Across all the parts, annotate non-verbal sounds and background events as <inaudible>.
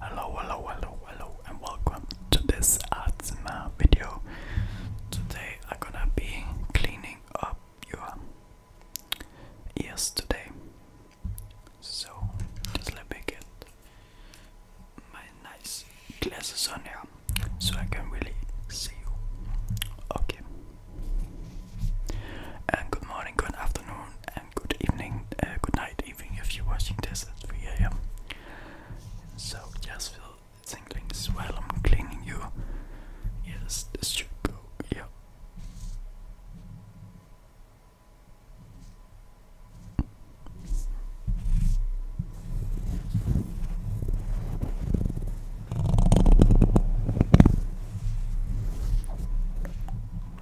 Hello, hello, hello, hello, and welcome to this ASMR video. Today I'm gonna be cleaning up your ears today. So just let me get my nice glasses on here so I can really see you. Okay. And good morning, good afternoon, good evening, uh, good night, even if you're watching this at 3 a.m. So just feel tinglings while I'm cleaning you. Yes, this should go. Yeah.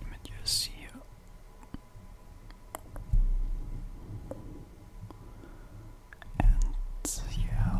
Men jag And yeah,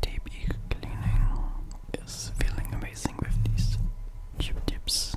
tape cleaning is feeling amazing with these tube tips.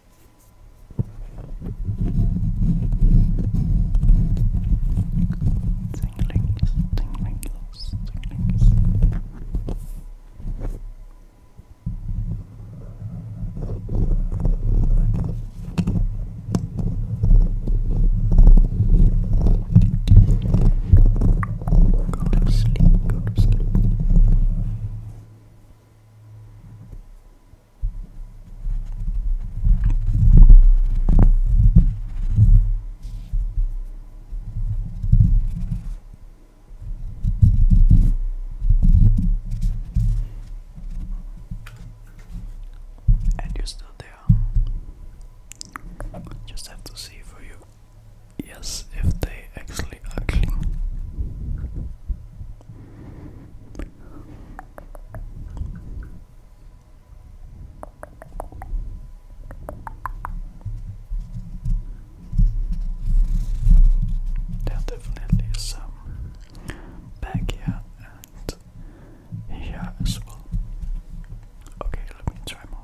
Tinglings, tinglings, tinglings. Go to sleep, go to sleep. Go and you're still there. Just have to see for you. Yes, if they actually are clean. There definitely some back here and here as well. Okay, let me try more.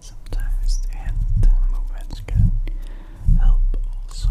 Sometimes the can help also.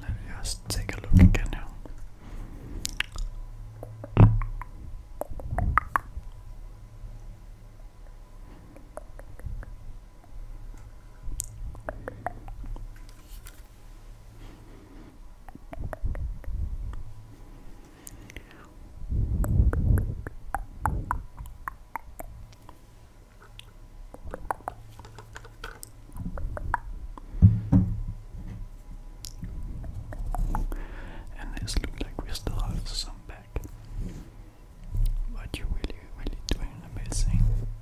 Let me just take a look again now. And this looks like we still have some back. But you really, really doing amazing.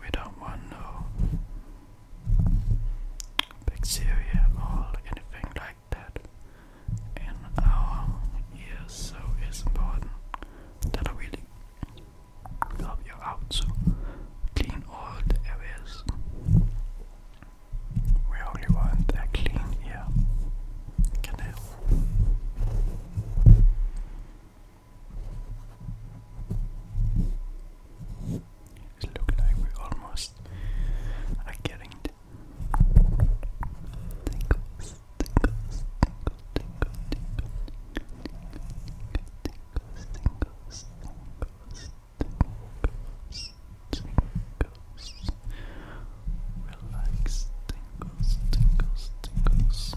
We don't want no bacteria or anything like that in our ears, so it's important that I really help you out to clean all the areas. We only want a clean ear canal. It looks like we almost are getting it. Tingles, tingles, tingles, tingles, tingles, tingles, tingles, tingles, tingles, relax, tingles, tingles, tingles.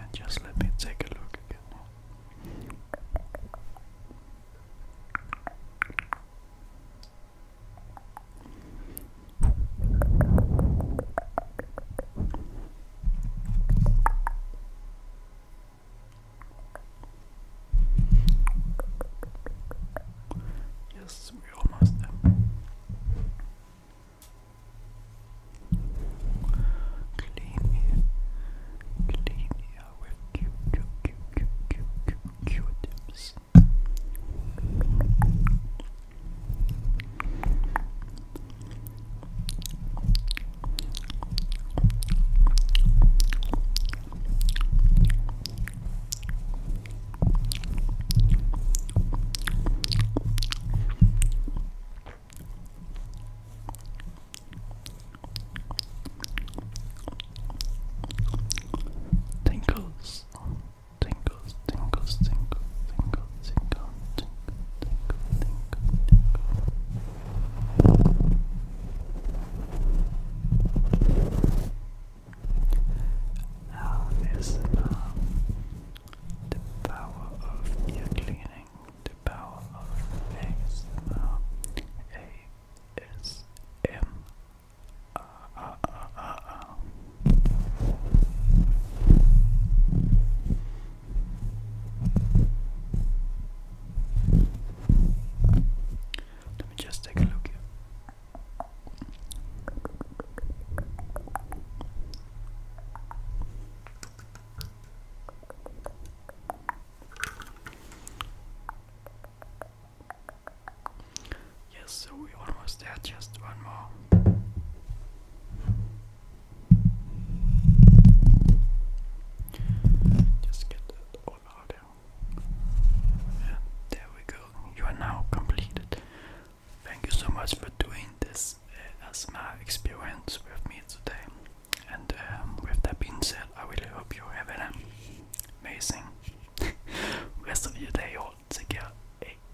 And just let me take a look again. Yes, we're almost there. Clean here. Clean here cute, cute, cute, cute, cute, cute, cute Tinkles, tinkles, tingles, tingles, tingles, tingles, tingles, tingles, tingles, tingles. Now the power of ear cleaning, the power of ASMR, ASMR. Let me just take a look here. Yes, so we almost had just one more just get that all out and there we go. You are now completed. Thank you so much for doing this uh, asthma experience with me today. And um, with that being said, I really hope you have an amazing <laughs> rest of your day. All take care.